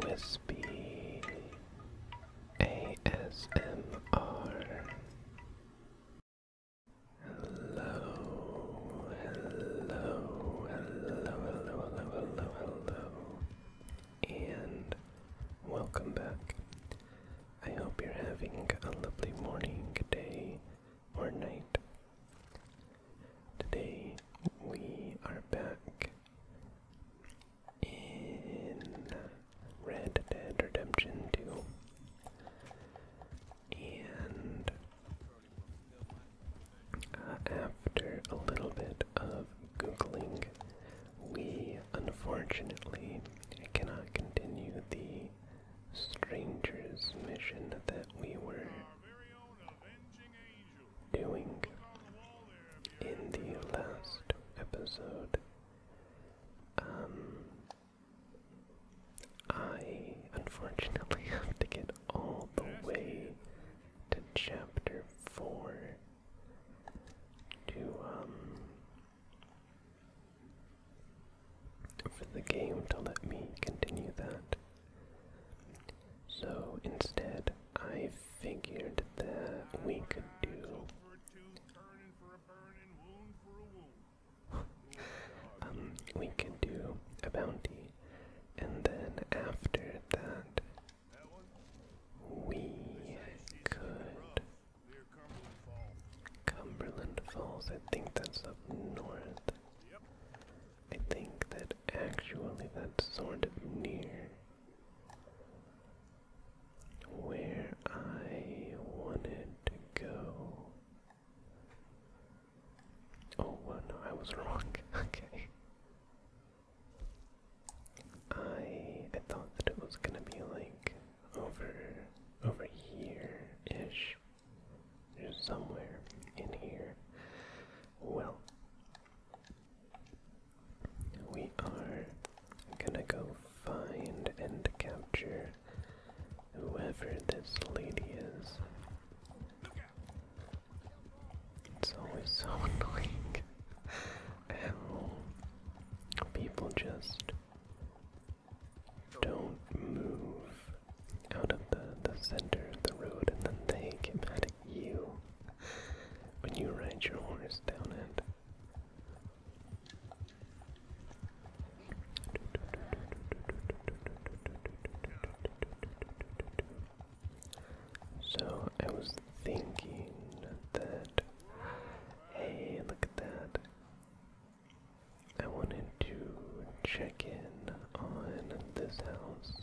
Whispy ASMR. Hello, hello, hello, hello, hello, hello, hello, and welcome back. I hope you're having a lovely morning, day, or night. Today we are back in Red Dead Redemption 2. And uh, after a little bit of Googling, we unfortunately cannot continue the Stranger's mission that we were doing in the last episode. Um, I unfortunately have to get all the way to chapter 4 to, um, for the game to let me continue that. So instead, I figured that we could do. um, we could do a bounty, and then after that, we could. Cumberland Falls, I think that's up north. I think that actually that's sort of near where I wanted to go. Oh, well, no, I was wrong. okay. I thought that it was gonna be like over over here ish. There's somewhere in here. Well, we are gonna go find and capture whoever this lady is. It's always so annoying how um, people just don't move out of the, the center the road and then they get mad you when you ride your horse down it. So I was thinking that, hey, look at that. I wanted to check in on this house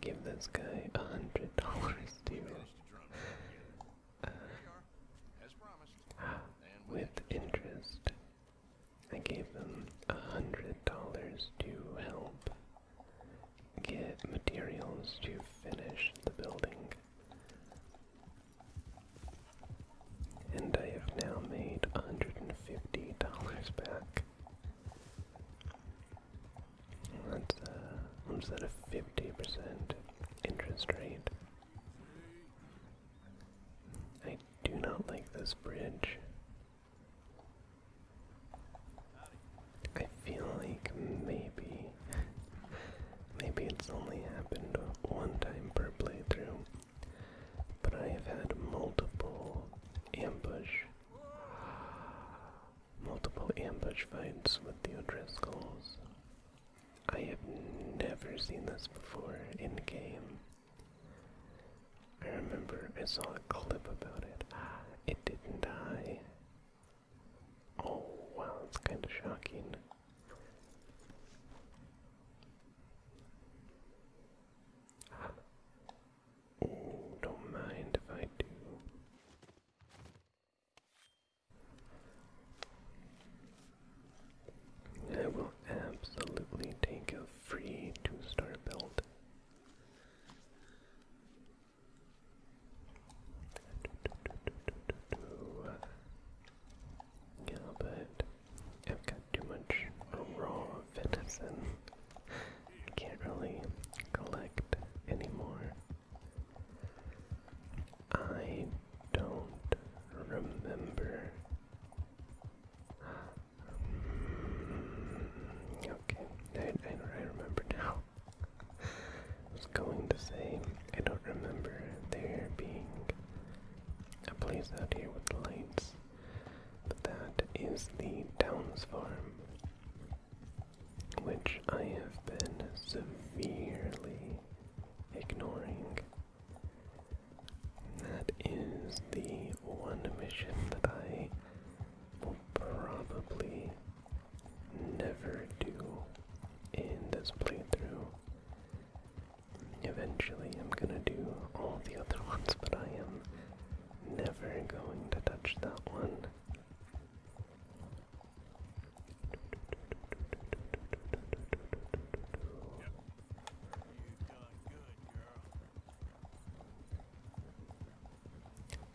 Give this guy a hundred dollars to uh, with interest. I gave them a hundred dollars to help get materials to finish the building. And I have now made a $150 back. That's uh, what's that a fifty percent interest rate? I do not like this bridge. I feel like maybe, maybe it's only happened one time per playthrough, but I have had multiple ambush multiple ambush fights with the O'Driscolls. I have never seen this before in game. I remember I saw a clip about it. Ah, it didn't die. Oh wow, it's kind of shocking. Oh, don't mind if I do. I will absolutely take a free two-star build. Yeah, but I've got too much raw venison. Can't really collect anymore. I don't remember. Mm, okay, I, I, remember now. was going to say, I don't remember there being a place out here with lights, but that is the town's Farm which I have been severely ignoring. That is the one mission that I will probably never do in this playthrough. Eventually, I'm gonna do all the other ones, but I am Never going to touch that one.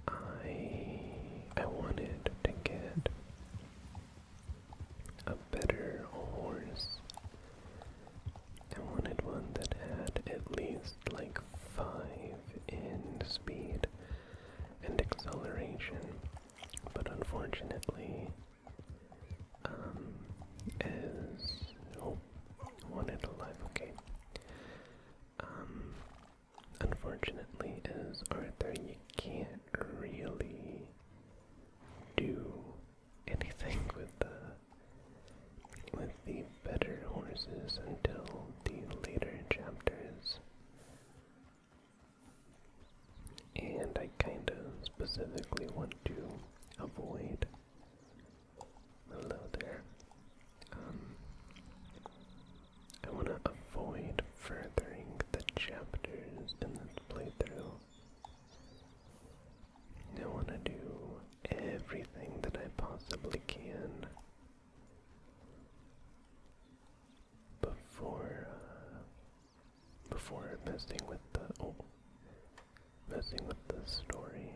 I I wanted to get a better horse. I wanted one that had at least like 5 in speed and acceleration, but unfortunately, um, is. Oh, one is alive, okay. Um, unfortunately, as Arthur, you can't really do anything with the with the better horses until the later chapters. And I kind of specifically want to avoid. Hello there. Um, I want to avoid furthering the chapters in this playthrough. I want to do everything that I possibly can before before messing with the messing with the story.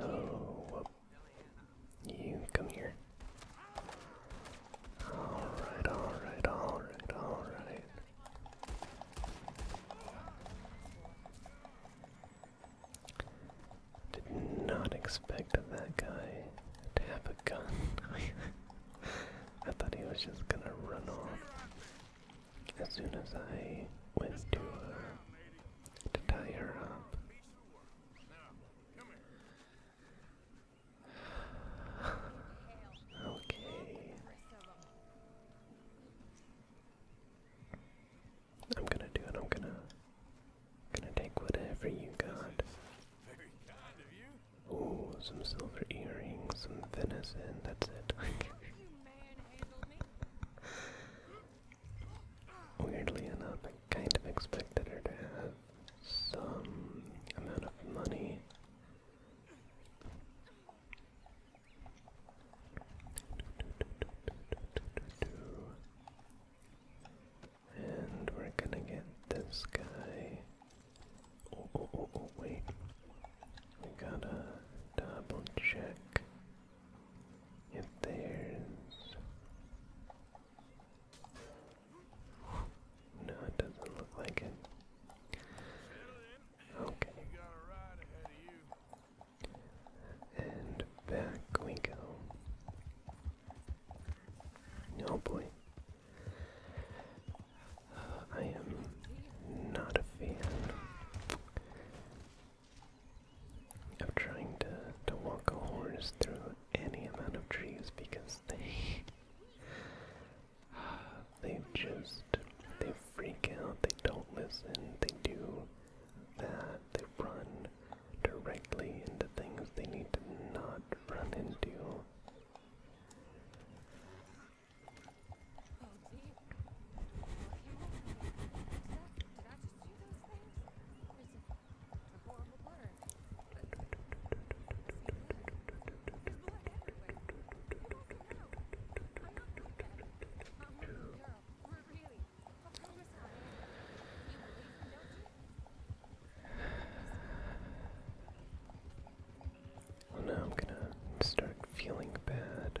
Oh, You come here. Alright, alright, alright, alright. Did not expect that guy to have a gun. I thought he was just gonna run off. As soon as I went to, uh, to tie her up, Okay. I'm gonna do it. I'm gonna gonna take whatever you got. Very some silver earrings, some venison. That's it. Weirdly enough, I kind of expected her to have some amount of money. And we're gonna get this guy. Oh, oh, oh, oh, wait. We gotta double check if there's no, it doesn't look like it. Okay. And back we go. Oh boy. Uh, I am not a fan I'm trying to, to walk a horse through any amount of trees because they they just they freak out, they don't listen, they do that, they run directly into things they need to not run into now I'm gonna start feeling bad.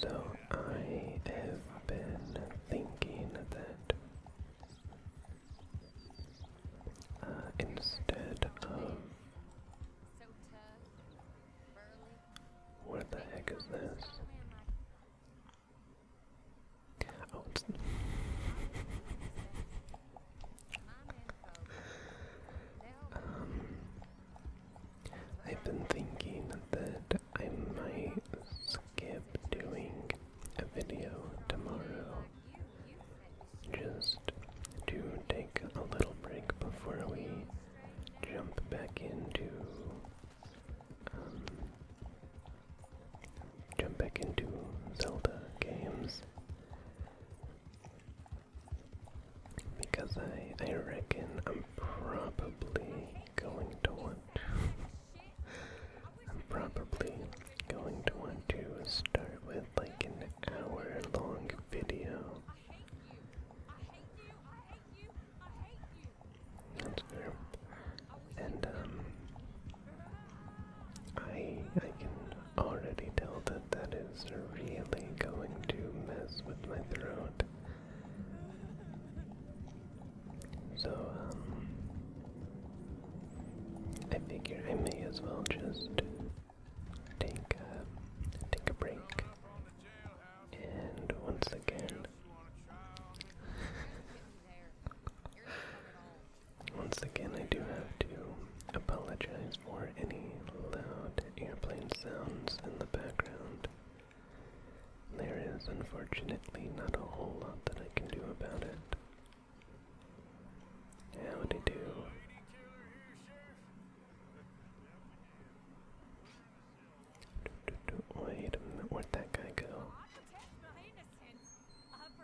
So I have been thinking that uh, instead of what the heck is this? Oh, I've been thinking that I might skip doing a video tomorrow just to take a little break before we jump back into um, jump back into Zelda games. Because I, I reckon I'm probably going to want I'm probably going to want to start with like an hour long video. That's fair. And um I I can already tell that that is really going to mess with my throat. So um, I figure I may as well just take a, take a break. And once again. Once again, I do have to apologize for any loud airplane sounds in the background. There is unfortunately not a whole lot that I can do about it. Howdy do. do. Wait a minute, where'd that guy go?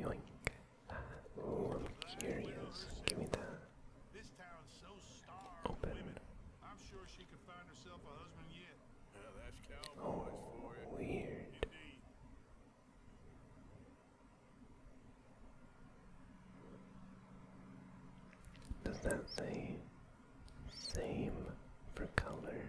Yoink. I'm curious. Give me that. Open. sure she could find herself a husband yet. Yeah, that's cowboys oh, for you. Weird. Does that say same for color?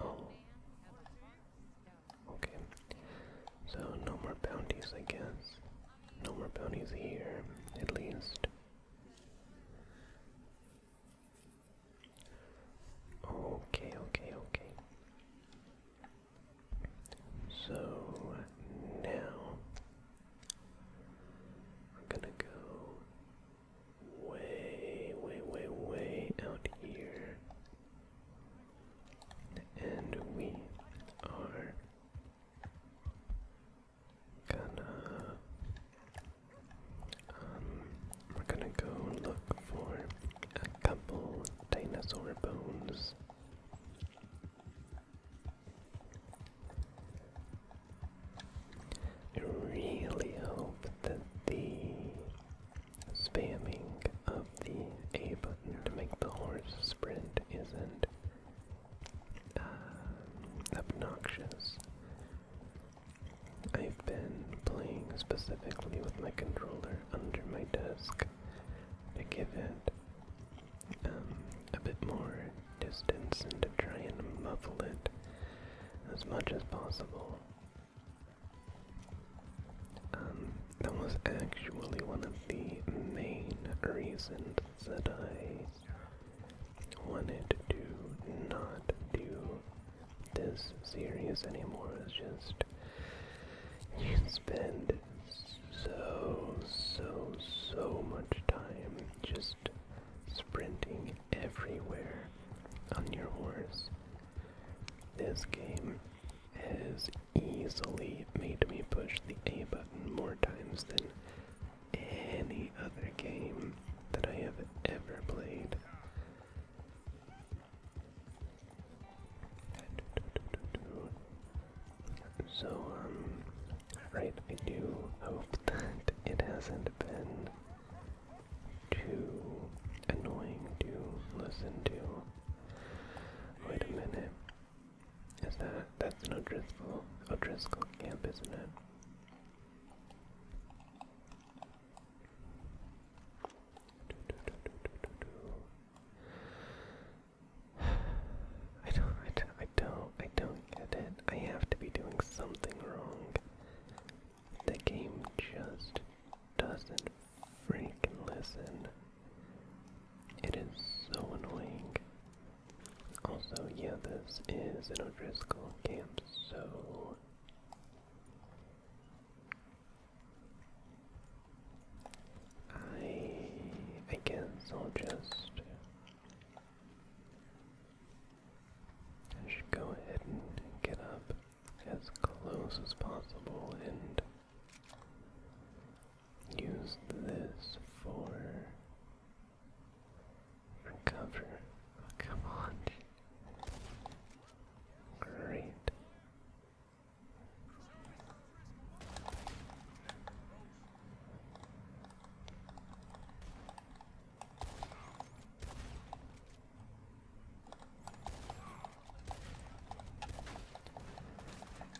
Oh. Okay. So no more bounties, I guess. No more bounties here, at least. Okay, okay, okay. So now we're gonna go way, way, way, way out here. And we are gonna um we're gonna go look for a couple dinosaur bones. I really hope that the spamming of the A button to make the horse sprint isn't uh, obnoxious. I've been playing specifically with my controller under my desk to give it um, a bit more distance and to try and muffle it as much as possible. Um, that was actually one of the main reasons that I wanted to not do this series anymore. It's just you spend so, so, so much time just sprinting everywhere on your horse. This game has easily made me push the A button more times than any other game that I have ever played. So, um, right, I do hope that it hasn't been too annoying to listen to. Wait a minute. Is that that's an Driscoll O'Driscoll camp, isn't it? I don't, I don't, I don't, I don't get it. I have to be doing something wrong. The game just doesn't freaking listen. It is so annoying. Also, yeah, this is an O'Driscoll camp, so. I I guess I'll just I should go ahead and get up as close as possible and use this for cover. come on. Great.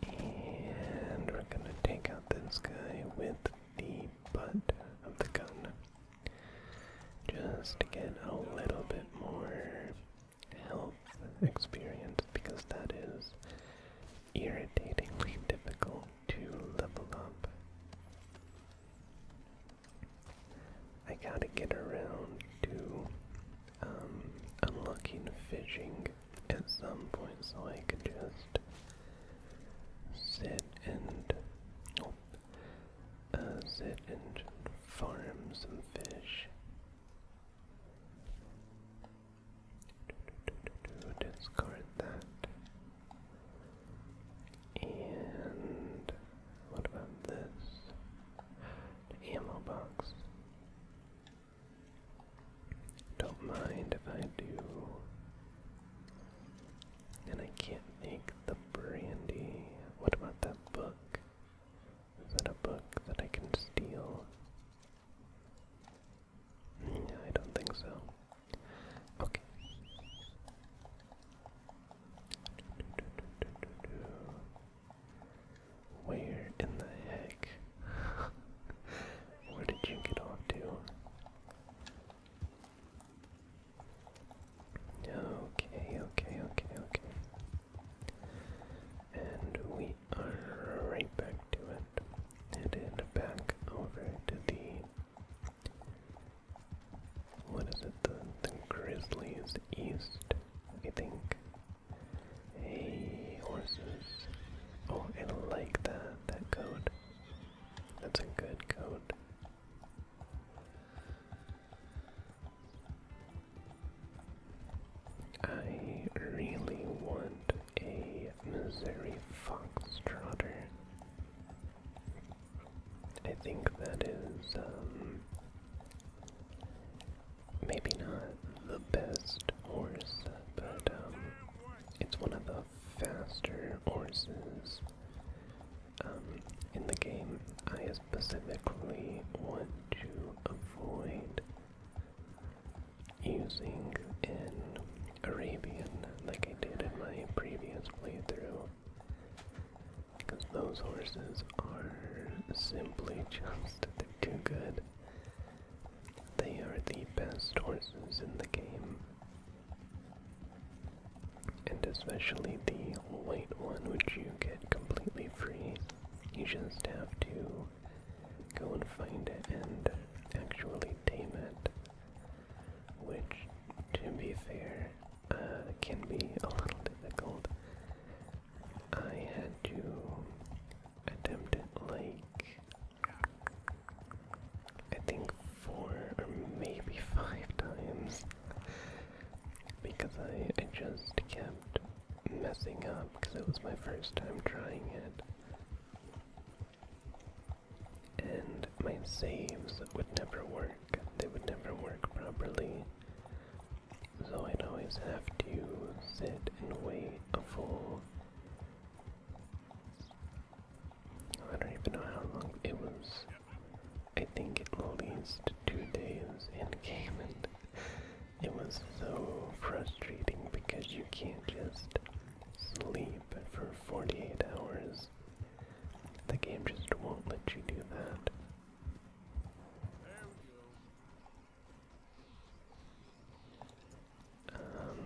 And we're gonna take out this guy with the butt of the gun. Just to get a little bit more health experience because that is irritatingly difficult to level up. I gotta get around to um, unlocking fishing at some point so I can just sit and oh, uh, sit and farm some fish. Discard that. And what about this? ammo box. Don't mind if I do. And I can't make the brandy. What about that book? Is that a book that I can steal? No, mm, I don't think so. Okay. Where in the heck? Where did you get off to? Okay, okay, okay, okay. And we are right back to it. And back over to the what is it? The, the Grizzlies East, I think. Hey, horses. Oh, I like that, that code. That's a good code. I really want a Missouri Fox Trotter. I think that is um, maybe not the best horse, but um, it's one of the faster horses um, in the game. I specifically want to avoid using an Arabian like I did in my previous playthrough. Because those horses are simply just, they're too good. They are the best horses in the game. And especially the white one, which you get completely free. You just have to go and find it and actually tame it which, to be fair, uh, can be a little difficult. I had to attempt it like I think four or maybe five times because I just kept messing up because it was my first time trying it and my saves would never work. They would never work properly. So I'd always have to sit and wait a full. I don't even know how long it was. I think at least two days in game, and it was so frustrating because you can't just sleep for 48 hours the game just won't let you do that. There we go. Um,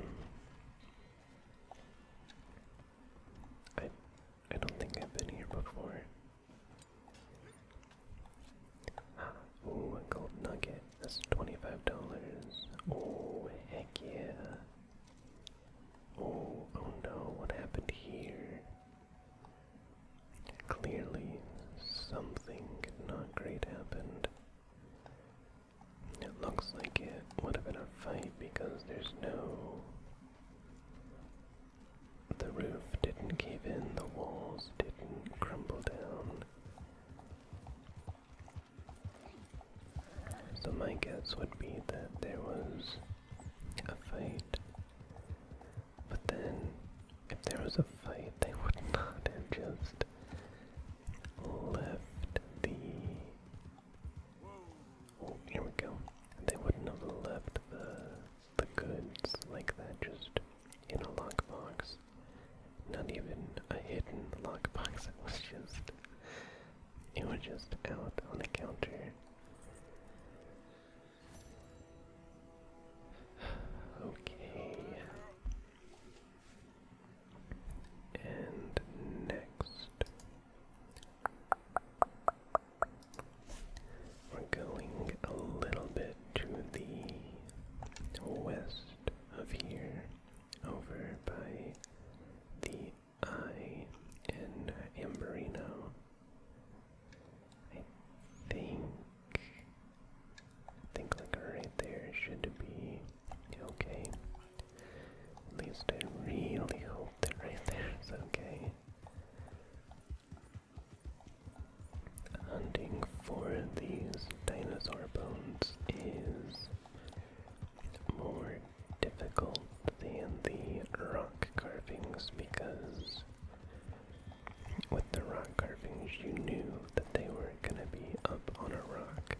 I I don't think I've been here before. Ah, ooh, a gold nugget. That's twenty-five dollars. Oh, heck yeah! Oh, oh no, what happened here? Clearly, something not great happened. It looks like it would have been a fight because there's no. The roof didn't cave in, the walls didn't crumble down. So my guess would be that there was a fight. But then, if there was a fight, they would not have just left the. Oh, here we go. They wouldn't have left the the goods like that just in a lockbox. Not even a hidden lockbox. It was just it was just out on the counter. Okay. And next, we're going a little bit to the west of here, over by the I and Amberino. I think think like right there should be okay. At least I really hope that right there is okay. Hunting for these dinosaur bones is more difficult than the rock carvings because with the rock carvings you knew that they were going to be up on a rock.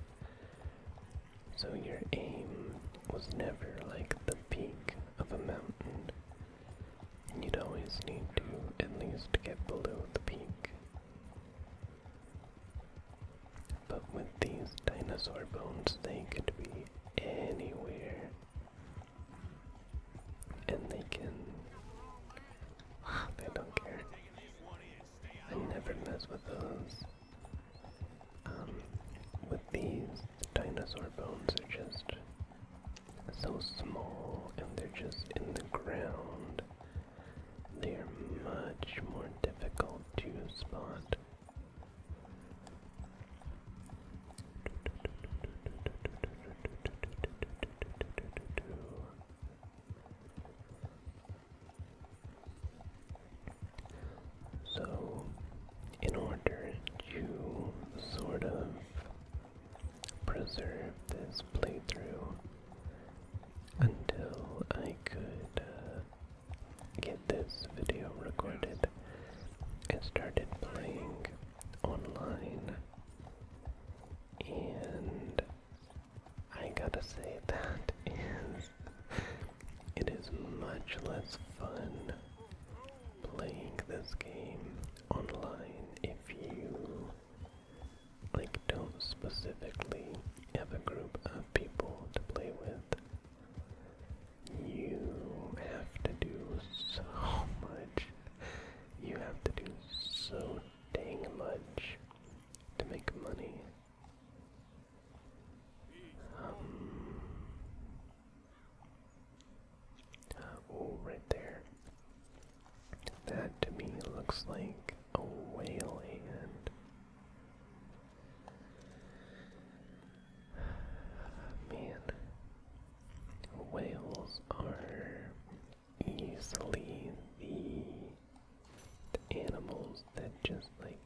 So your aim was never like the peak of a mountain. You'd always need to at least get below the peak. But with these dinosaur bones, they could be anywhere. And they can. they don't care. I never mess with those. Um, with these, dinosaur bones are just so small and they're just in the ground. They are much more difficult to spot so, in order to sort of preserve this playthrough until I could uh, get this video recorded and started playing online. And I gotta say that is it is much less fun playing this game online if you like don't specifically have a group of people to play with. You have to do so much. You have to do so dang much to make money. oh, right there. That to me looks like a whale hand. Man, whales are easily the, animals that just like,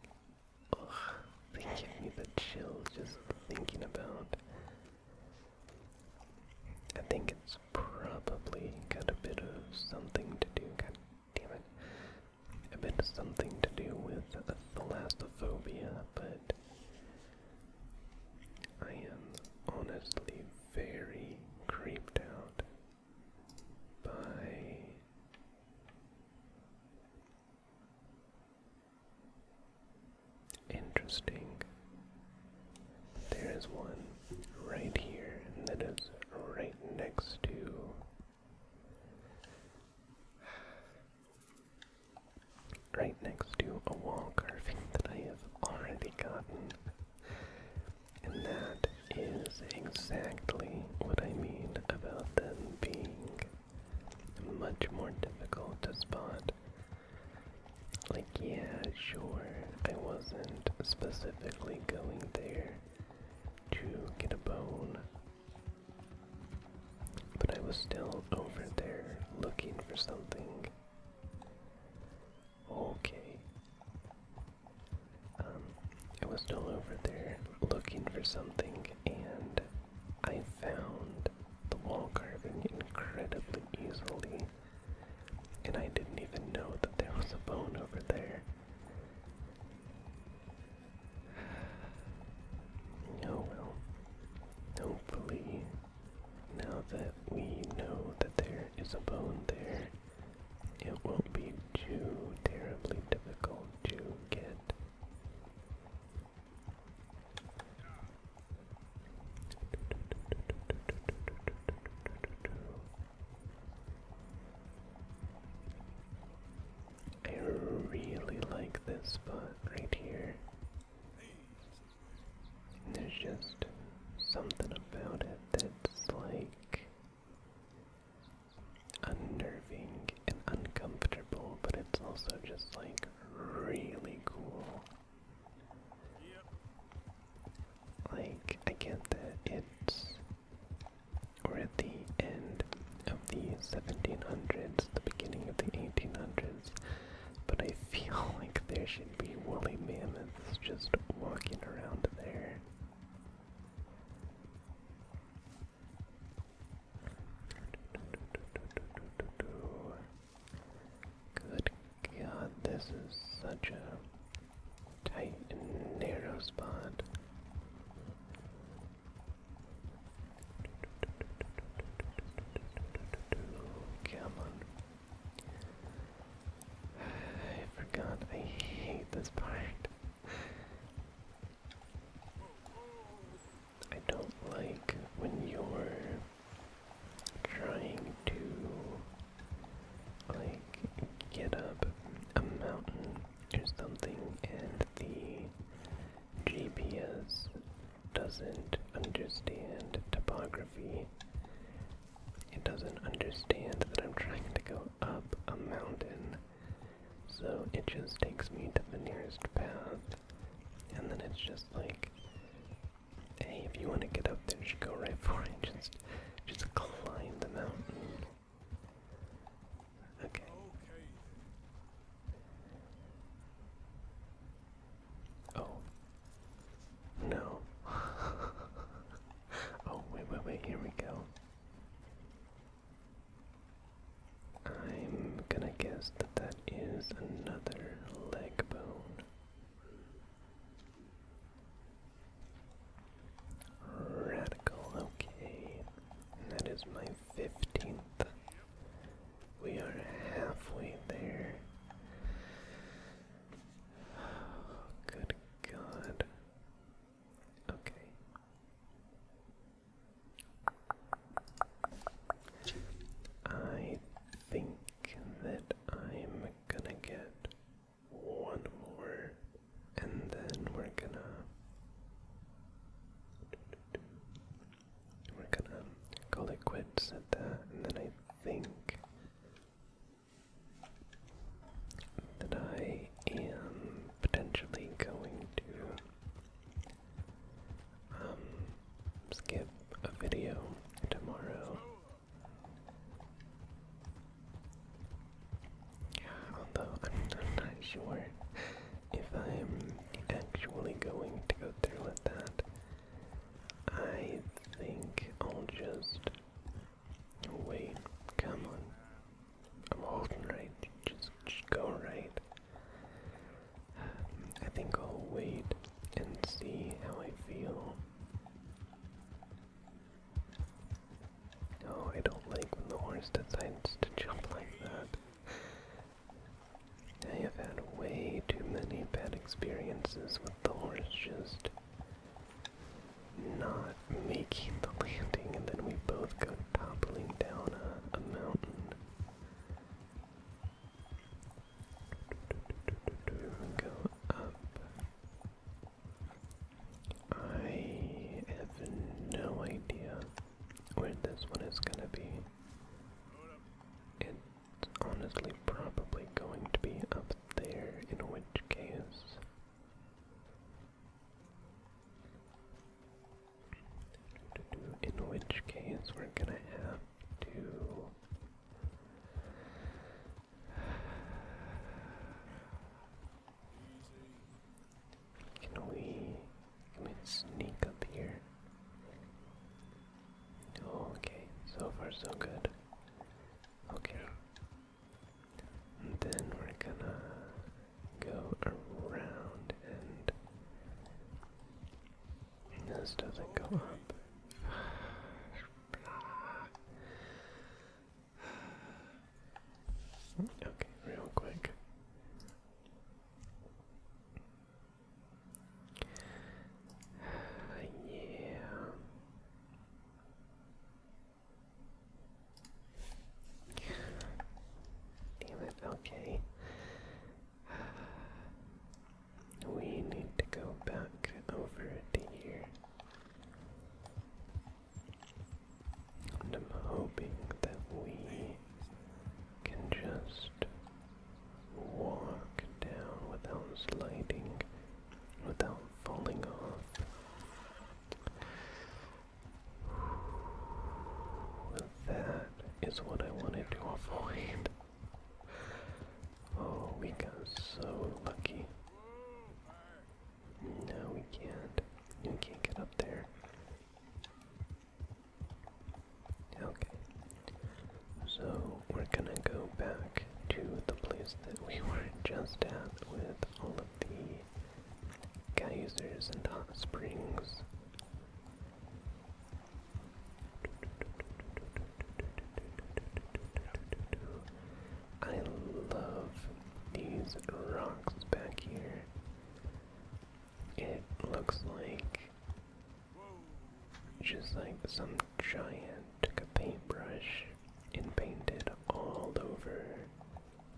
ugh, they give me the chills just thinking about. I think it's probably got a bit of something to do. God damn it if it's something to do with the last phobia, but I am honestly very creeped out by interesting. There is one right here that is right next to Right next to a wall carving that I have already gotten. And that is exactly what I mean about them being much more difficult to spot. Like, yeah, sure, I wasn't specifically going there to get a bone, but I was still over there looking for something. Okay. Um, I was still over there looking for something and I found the wall carving incredibly easily. And I didn't even know that there was a bone over there. Oh well. Hopefully, now that we know that there is a bone there, it won't be too terribly difficult to get. I really like this spot right here. There's just something about it that's like unnerving and uncomfortable, but it's also just like really cool. Like, I get that it's we're at the end of the 1700s, the beginning of the 1800s, but I feel like there should be woolly mammoths just walking around there. Good god, this is such a tight and narrow spot. Come on. I forgot. I hate this part. I don't like when you're trying to like get up a mountain there's something and the GPS doesn't understand topography. It doesn't understand that I'm trying to go up a mountain. So it just takes me to the nearest path. And then it's just like, hey, if you want to get up there, just go right for it. Just, just climb the mountain. Okay. Oh. No. oh, wait, wait, wait, here we go. I'm gonna guess that that is another leg bone. Radical, okay that is my 15th. We are halfway there. Oh, good God. Okay. I think that I'm gonna get one more and then we're gonna we're gonna call it quits at that, and then I think that I am potentially going to um, skip a video tomorrow. Although I'm, not sure if I'm actually going to go through with that. I think I'll just wait. Come on. I'm holding right. Just, go right. I think I'll wait and see how I feel. No, oh, I don't like when the horse decides to jump like that. I have had way too many bad experiences with the horse just not making the landing, and then we both go toppling down a, mountain. Go up. I have no idea where this one is gonna be. It's honestly probably going to be up there, in which case. In which case, we're gonna have to. Can we, can we sneak up here? okay, so far so good. Okay. then we're gonna go around and this doesn't go up. Okay, real quick. yeah. Damn We need to go back over to here. I'm hoping that we can just walk down without sliding, without falling off. That is what I wanted to avoid. Oh, we got so lucky. No, we can't. We can't get up there. Okay. So we're gonna go back to the place that we were just at with all of the geysers and hot springs. I love these rocks back here. It looks like just like some giant took a paintbrush and painted all over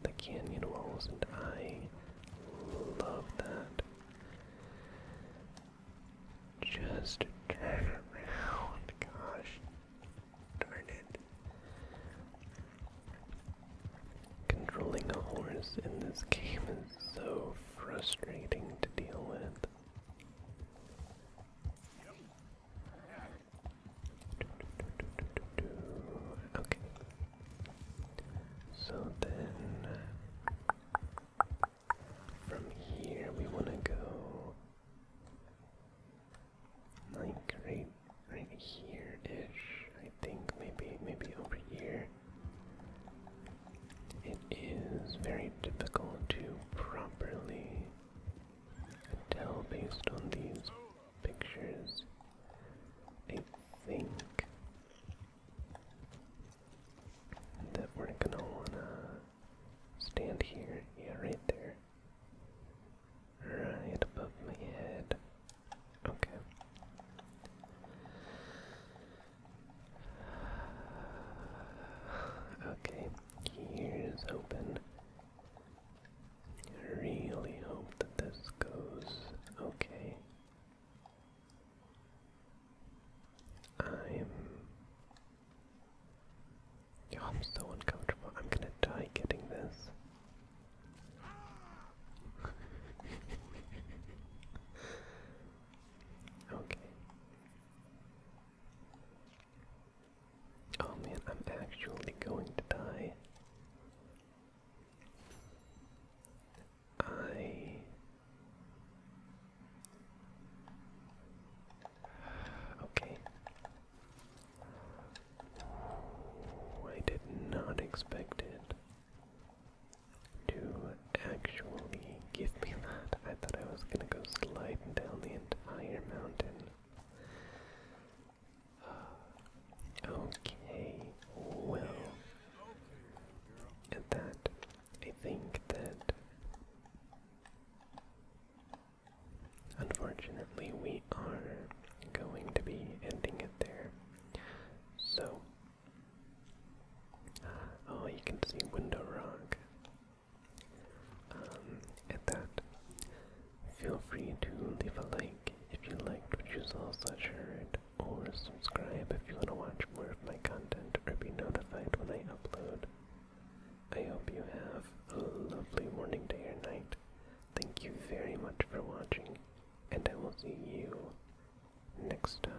the canyon walls, and I love that. Just turn around, gosh darn it. Controlling a horse in this game is so frustrating to deal with. Okay. So then from here we want to go like right right here-ish, I think, maybe, maybe over here. It is very difficult to properly tell based on these pictures. I think that we're gonna wanna stand here, yeah, right there, right above my head. Okay. Okay, here's open. I really hope that this goes okay. I'm. Oh, I'm so uncomfortable. I'm gonna die getting this okay. Oh man, I'm actually going to die. I Okay. I did not expect it to actually give me that. I thought I was gonna go sliding down the entire mountain. Uh, okay, well, at that, I think that unfortunately we are going to be ending it there. So, oh, you can see window rock. Um, that, feel free to leave a like if you liked what you saw such heard, or subscribe if you want to watch more of my content or be notified when I upload. I hope you have a lovely morning, day, or night. Thank you very much for watching, and I will see you next time.